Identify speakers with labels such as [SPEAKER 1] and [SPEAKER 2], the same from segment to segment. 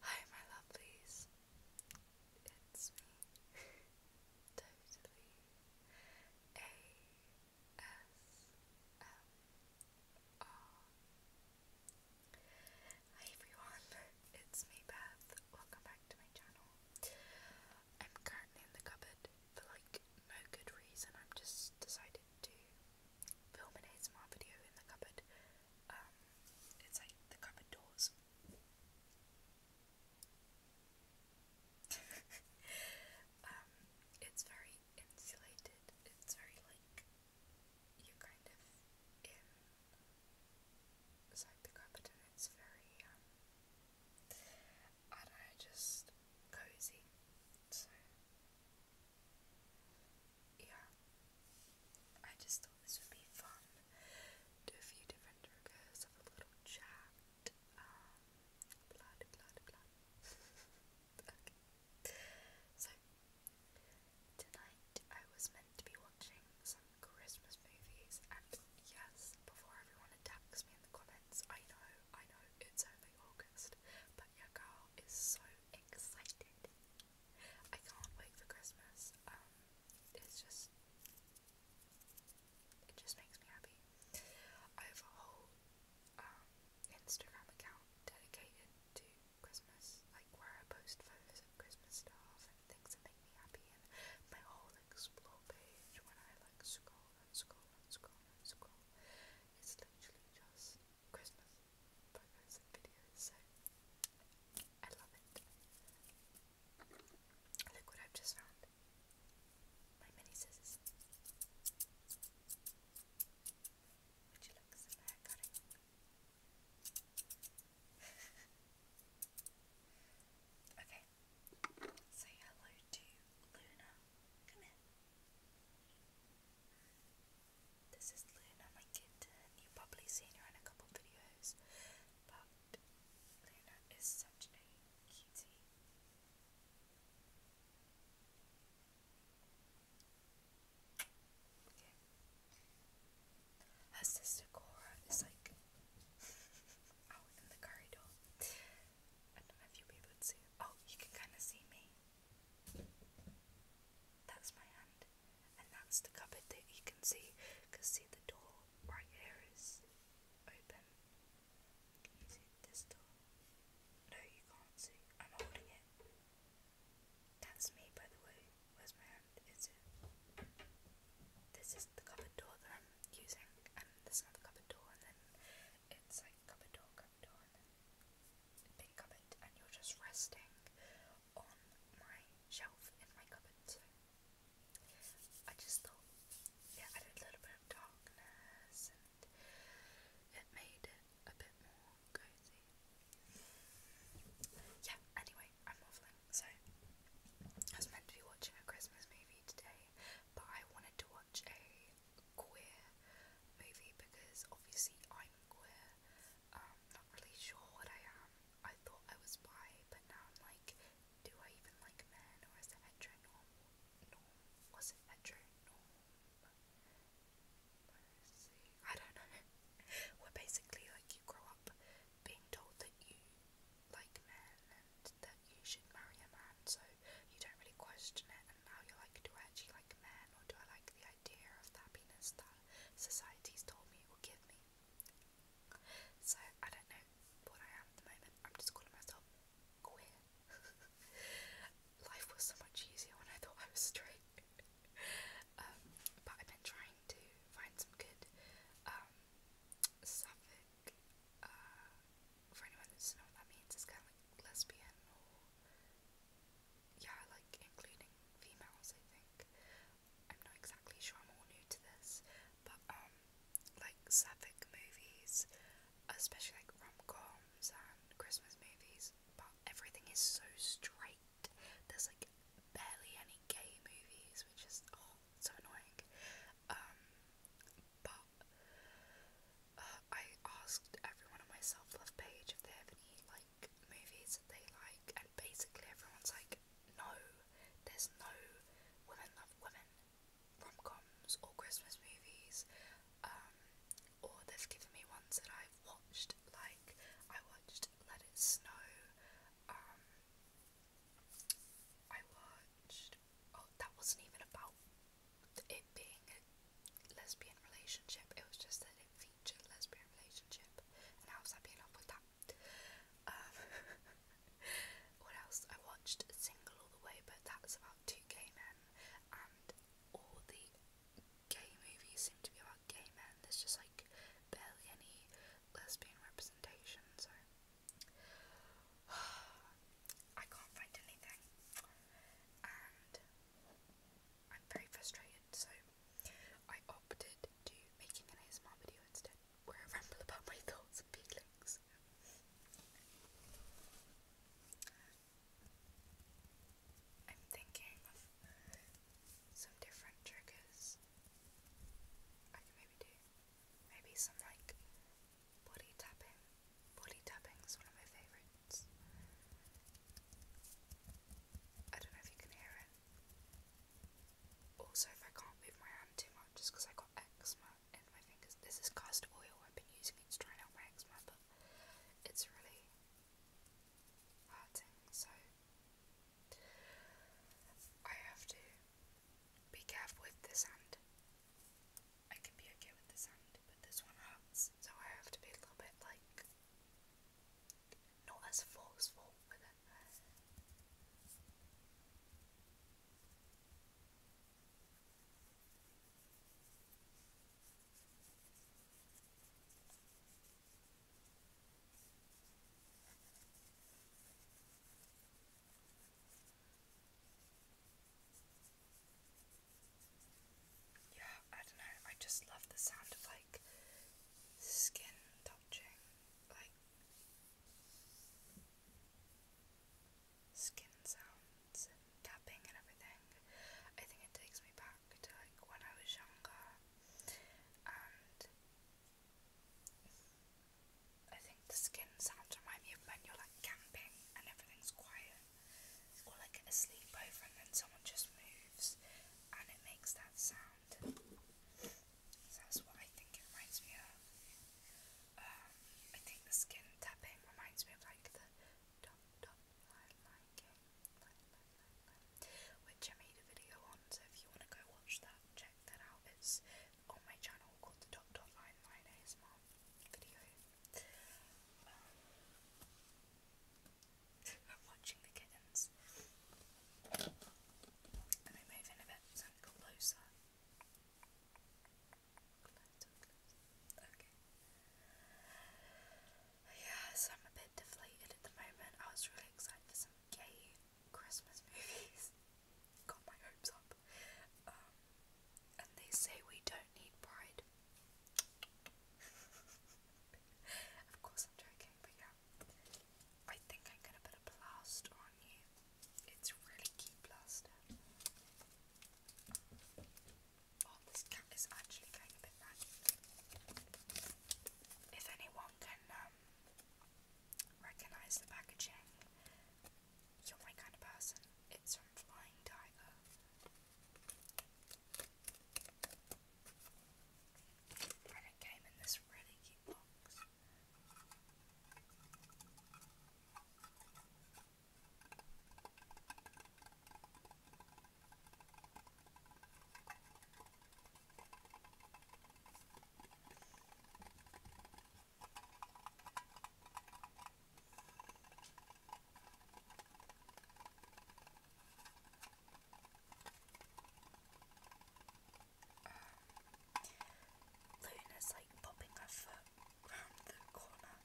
[SPEAKER 1] Hi, my lovelies. It's me, totally A S M R. Hi, everyone. It's me, Beth. Welcome back to my channel. I'm currently in the cupboard for like no good reason. I'm just decided to film an ASMR video in the cupboard. Um, it's like the cupboard doors. Um, it's very insulated. It's very like you kind of inside the cupboard, it's very um I just cozy. So, yeah. I just thought this would be fun. Do a few different triggers, have a little chat. Um, so, tonight I was meant to be watching Christmas movies, and yes, before everyone attacks me in the comments, I know, I know, it's only August, but your girl is so excited. I can't wait for Christmas, um, it's just, it just makes me happy. I have a whole, um, Instagram account dedicated to Christmas, like where I post photos of Christmas stuff things that make me happy and my whole explore page when I like scroll and scroll and scroll and scroll is literally just Christmas photos and videos so I love it. Look what I've just found. My mini scissors. Would you like some hair okay, Say hello to Luna. Come in. This is Luna, my kitten. You've probably seen her in a couple videos, but Luna is such a cutie. Her sister Cora is like out in the corridor. I don't know if Oh, you can kind of see me. That's my hand, and that's the cupboard that you can see. Cause see the door right here is open. Can you see this door? No, you can't see. I'm holding it. That's me, by the way. Where's my hand? Is it? This is the cupboard door that I'm using, um, and there's cupboard door, and then it's like cupboard door, cupboard door, and then big cupboard, and you're just resting on my shelf in my cupboard. I just yeah, I a little bit of darkness, and it made it a bit more cozy. Yeah, anyway, I'm waffling so I was meant to be watching a Christmas movie today, but I wanted to watch a queer movie because obviously I'm queer. Um, not really sure what I am. I thought I was bi, but now I'm like, do I even like men or is it hetero norm? Was it hetero norm? I don't know. Where basically like you grow up being told that you like men and that you should marry a man, so you don't really question it. And now you're like, do I actually like men, or do I like the idea of the happiness that society's told me it will give me? So I don't know what I am at the moment. I'm just calling myself queer. Life was so much easier when I thought I was straight. um, but I've been trying to find some good um, Sapphic, uh, for anyone that doesn't know what that means, it's kind of like lesbian or, yeah, like including females, I think. I'm not exactly sure, I'm all new to this, but, um, like sapphic movies, especially like rom coms and Christmas movies, but everything is so straight. There's like barely any gay movies, which is, oh, so annoying. Um, but uh, I asked everyone on my self love page if they have any like movies that they like, and basically everyone's like, no, there's no women love women rom coms or Christmas movies. Um, or they've given me ones that I've watched, like I watched Let It Snow. Um, I watched. Oh, that wasn't even about it being a lesbian relationship. It was just that it featured a lesbian relationship, and how was I being up with that? Um, what else? I watched Single All the Way, but that's about two gay men, and all the gay movies seem to be about gay men. There's just like barely any lesbian representation, so. I can't find anything, and I'm very frustrated, so I opted to making an ASMR video instead, where I ramble about my thoughts and feelings. I'm thinking of some different triggers I can maybe do. Maybe some like body tapping. Body tapping is one of my favourites. I don't know if you can hear it. Also, if I can't move my hand too much, just because I got eczema in my fingers. This is castor oil. I've been using it to dry out my eczema, it's really hurting. So I have to be careful with this hand. I can be okay with this hand, but this one hurts, so I have to be a little bit like not as forceful with it. Yeah, I don't know. I just love the sound of like skin touching. Like skin sounds and tapping and everything. I think it takes me back to like when I was younger I think the skin sounds remind me of when you're like camping and everything's quiet, or like a sleepover and then someone just moves and it makes that sound. that's what I think it reminds me of. Um, I think the skin tapping reminds me of like the which I made a video on. So if you want to go watch that, check that out. It's on my channel called the Dot Dot Line Line video. Um, I'm watching the kittens. And they move in a bit, closer. Okay. Yeah, so I'm a bit deflated at the moment. I was really excited for some gay Christmas movies. Got my hopes up. Um, and they say we don't need pride. of course, I'm joking, but yeah. I think I'm gonna put a plaster on you. It's really key plaster. Oh, this cat is actually going a bit mad. If anyone can um, recognize the packaging. You're my kind of person. It's from Flying Tiger. And it came in this really cute box. Luna's like popping her foot round the corner.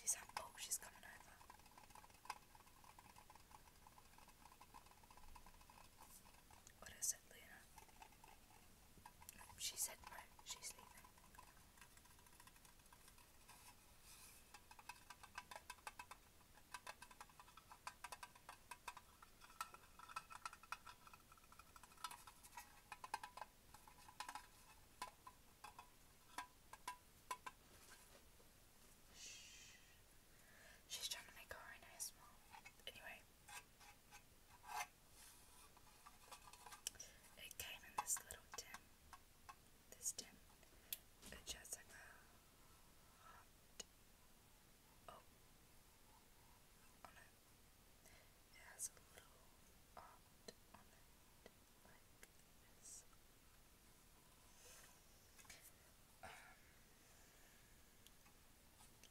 [SPEAKER 1] She's like, oh, she's coming over. What is it, Luna? She said no, she's leaving. Shh. She's trying to make her own ASMR. Anyway, it came in this little tin. This tin. it. It has a little heart um,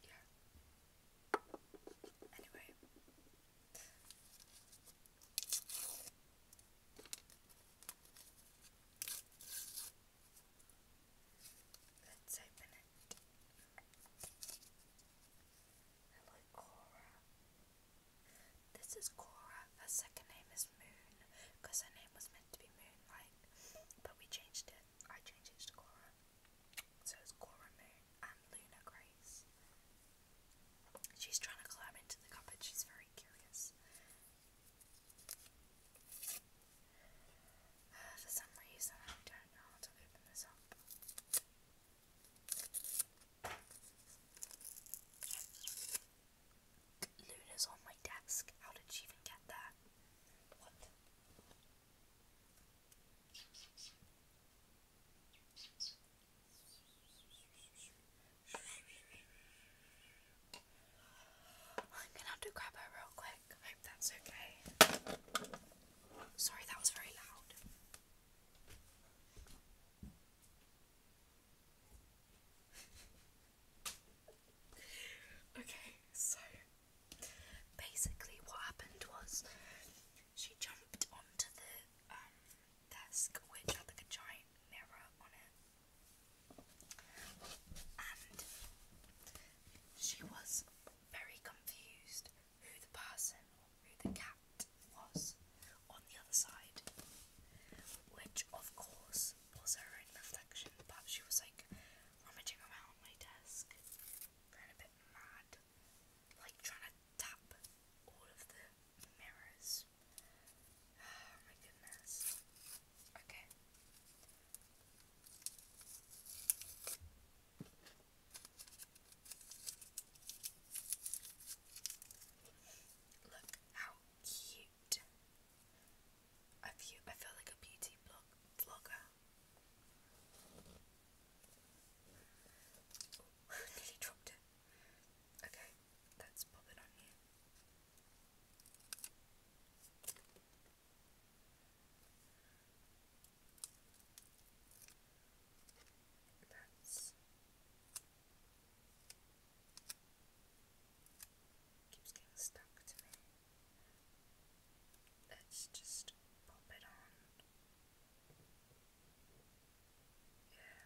[SPEAKER 1] yeah. Anyway. Let's open it. Hello, Cora. This is Cora. Her second name is Moon because her name was meant to be Moonlight, but we changed it. I changed it to Cora. So it's Cora Moon and Luna Grace. She's trying to climb into the cupboard, she's very curious. for some reason, I don't know how to open this up. Luna's on my desk. How did she even get there? What? I'm gonna have to grab her real quick. I hope that's okay. Sorry, that was very loud. okay, so Basically, what happened was she jumped onto the um, desk, which had like a giant mirror on it, and she was very confused who the person or who the cat was on the other side, which of course was her reflection, but she was like rummaging around my desk, going a bit bit mad, like trying to tap all of the mirrors. Oh my goodness. Okay. Look how cute. I feel I feel like a beauty blog vlogger. Nearly dropped it. Okay, let's on here. keeps getting stuck to me. Let's just pop it on. Yeah.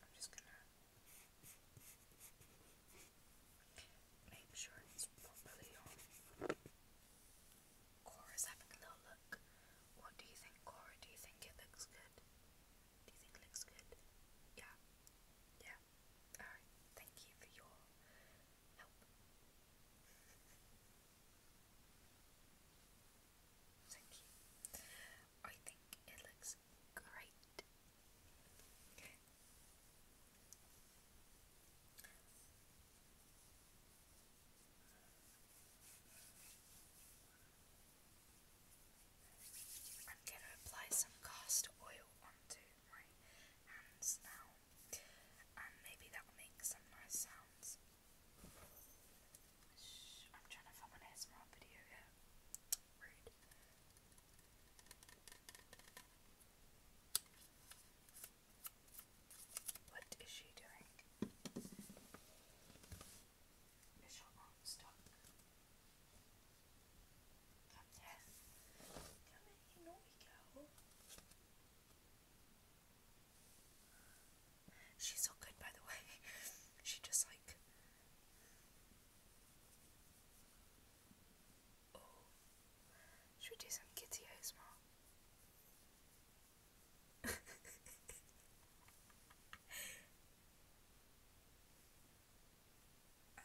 [SPEAKER 1] I'm just gonna make sure it's properly on. Cora's having a little look. What do you think, Cora? Do you think it looks good? Do think it looks good? Yeah. Yeah. Alright. Thank you for your help. Thank you. I think it looks great. I'm gonna apply some castor oil onto my hands now, and maybe that'll make some nice sounds. I'm trying to film an ASMR video Rude. What is she doing? Is your arm stuck? She's not good, by the way. she just like. Oh, should we do some kitty ASMR?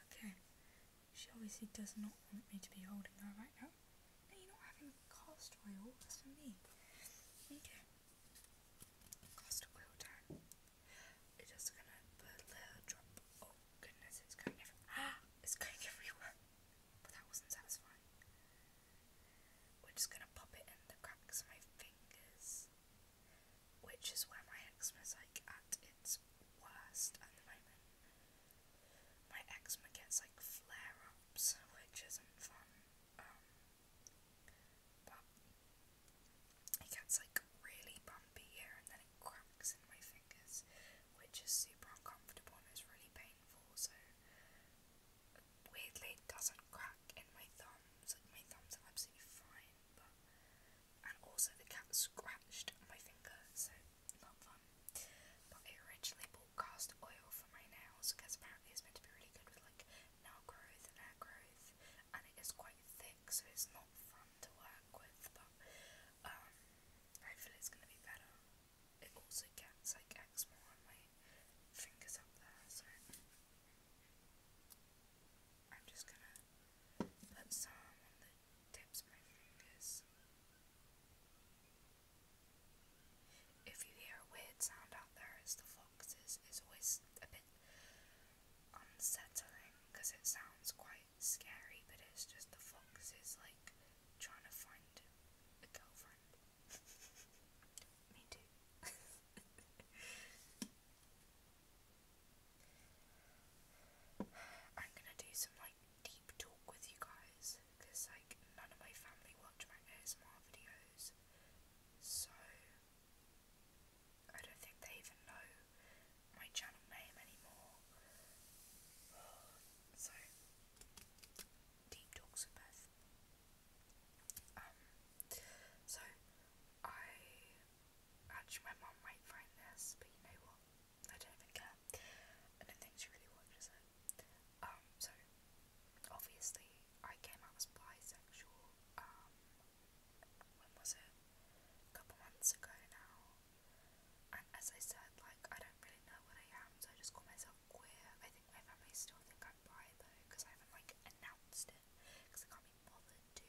[SPEAKER 1] Okay, she obviously does not want me to be holding her right now. No, you're not having castor oil, for me. Okay. Castor oil time. It's just gonna put a little drop. Oh goodness, it's going everywhere. Ah, it's going everywhere. But that wasn't satisfying. We're just gonna pop it in the cracks of my fingers which is where my eczema is like at its worst at the moment. My eczema gets like flare ups, which isn't fun, um, it gets like really bumpy here and then it cracks in my fingers, which is super uncomfortable and it's really painful. So, weirdly, it doesn't crack in my thumbs, like my thumbs are absolutely fine, but and also the cat scratched my finger, so not fun. But I originally bought cast oil for my nails because apparently it's meant to be really good with like nail growth and hair growth, and it is quite thick, so it's not fun to work with. But um, hopefully it's gonna be better. It also gets like eczema on my fingers up there, so. I'm just gonna put some on the tips of my fingers. If you hear a weird sound out there, it's the foxes. It's always a bit unsettling because it sounds quite scary, but it's just the foxes like trying to find a girlfriend. Me too. I'm gonna do some like deep talk with you guys because like none of my family watch my ASMR videos, so I don't think they even know my channel name anymore. So deep talks with Beth. Um, so I Actually, my mum might find this, but you know what? I don't even I don't think she really watches it. Um, so obviously, I came out as bisexual. Um, when was it? A couple months ago now. And as I said, like I don't really know what I am, so I just call myself queer. I think my family still think I'm bi though, because I haven't like announced because I can't bothered to.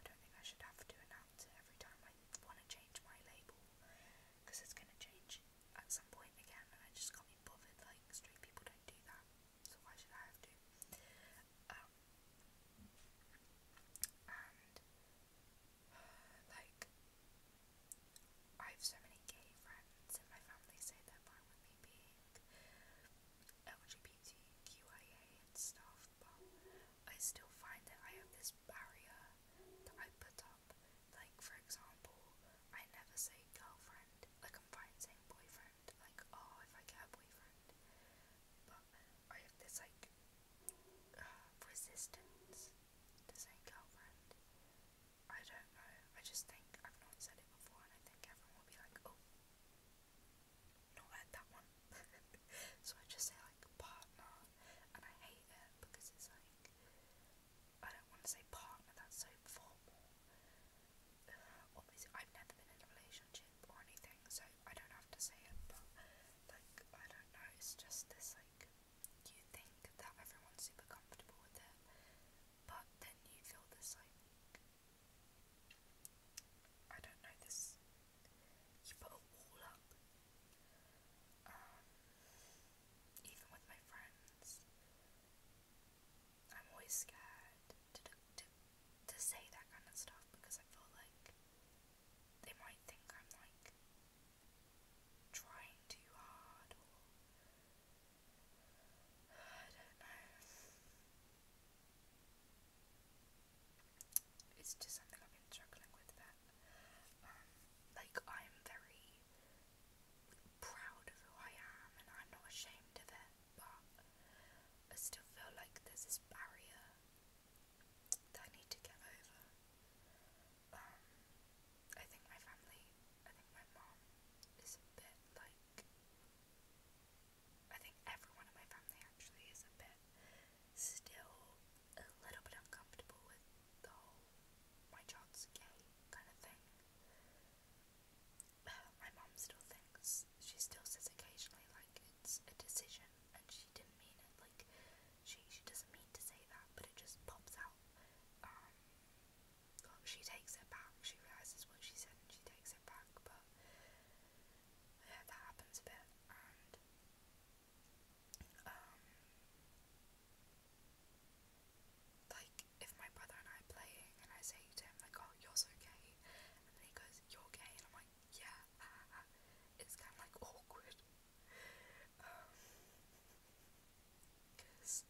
[SPEAKER 1] I don't think I should have to announce it every time I want to change my label because it's going to change at some point again, and I just got me bothered. Like, straight people don't do that, so why should I have to? Um, and like, I have so many gay friends, and my family say they're fine with me LGBT LGBTQIA and stuff, but I still find that I have this barrier that I put up. Like, for example, I never say girlfriend. Like, I'm fine saying boyfriend. Like, oh, if I get a boyfriend. But I have this, like, uh, resistance to saying girlfriend. I don't know. I just think I've not said it before, and I think everyone will be like, oh, not heard that one. so I just say like partner and I hate it because it's like I don't want to say partner, that's so formal. Uh, obviously I've never been in a relationship or anything, so I don't have to say it, but like I don't know, it's just this like you think that everyone's super comfortable with it, but then you feel this like I don't know this. Um, even with my friends, I'm always scared to, to to say that kind of stuff because I feel like they might think I'm like trying too hard I don't know it's just something I've been struggling with that um, like I'm very proud of who I am and I'm not ashamed of it but I still feel like there's this barrier that I need to get over um, I think my family I think my mom is a bit like I think everyone in my family actually is a bit still a little bit uncomfortable with the whole my child's gay kind of thing. My mom still thinks, she still says occasionally, like, it's a decision and she didn't mean it. Like, she, she doesn't mean to say that, but it just pops out. Um, she takes it back, she realizes what she said and she takes it back, but yeah, that happens a bit, and um, like if my brother and I are playing, and I say to him like, "Oh, you're so gay," and then he goes, "You're gay," and I'm like, "Yeah," it's kind of like awkward, um, because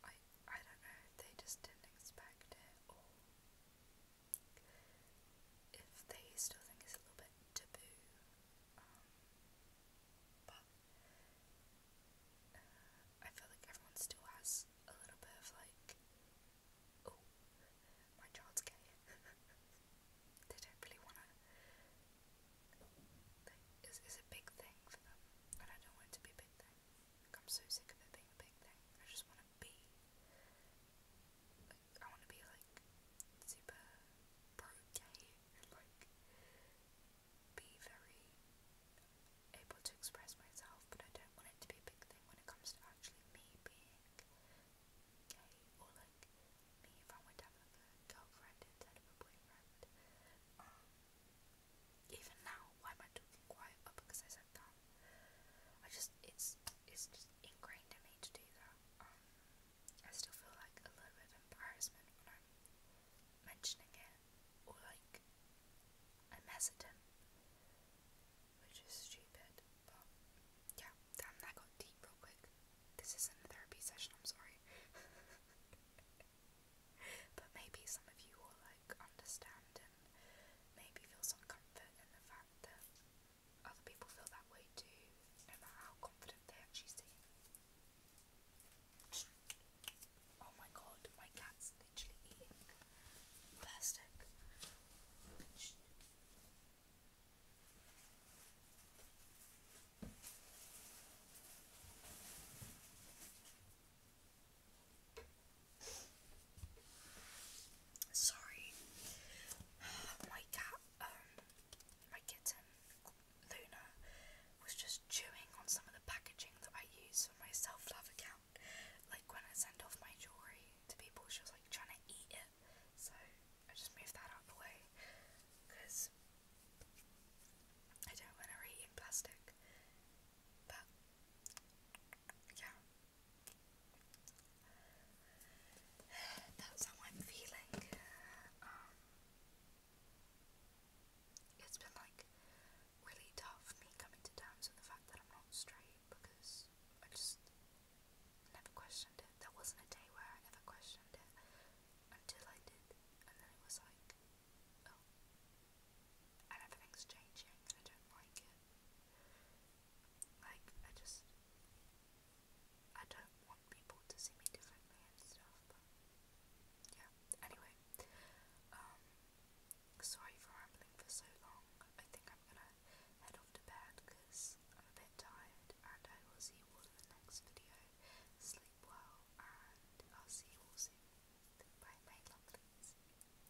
[SPEAKER 1] I I don't know, they just didn't expect it, or if they still think it's a little bit taboo, um, but uh, I feel like everyone still has a little bit of like, oh, my child's gay. they don't really want to. It's, it's a big thing for them, I don't want it to be a big thing. I'm so sick of it being a big thing. I just want it I want to be like super pro and like be very able to express myself, but I don't want it to be a big thing when it comes to actually me being gay or like me if I went to a girlfriend instead of a boyfriend. Um, even now, why am I talking quiet? said that. I just it's it's just ingrained in me to do that. Um, I still feel like a little bit of embarrassment when I'm mentioning it, or like I'm hesitant, which is stupid. But yeah, I'm that got deep real quick. This isn't a therapy session. I'm sorry. but maybe some of you will like understand and maybe feel some comfort in the fact that other people feel that way too, no matter how confident they actually seem. Oh my god, my cat's literally eating plastic. Sorry, my cat, um, my kitten Luna was just chewing on some of the packaging that I use for my self love account. Like when I send off my jewelry to people, she was like trying to eat it. So I just moved that out the way because I don't want her eating plastic. But yeah, that's how I'm feeling. Um, it's been like really tough me coming to terms with the fact that I'm not straight because I just never questioned it. There wasn't a day where I ever questioned it until I did, and then it was like, oh and everything's changing and I don't like it. Like, I just. I don't want people to see me differently and stuff, Yeah, anyway. Um. Sorry for rambling for so long. I think I'm gonna head off to bed because I'm a bit tired and I will see you all in the next video. Sleep well and I'll see you all soon. Bye, my lovelies.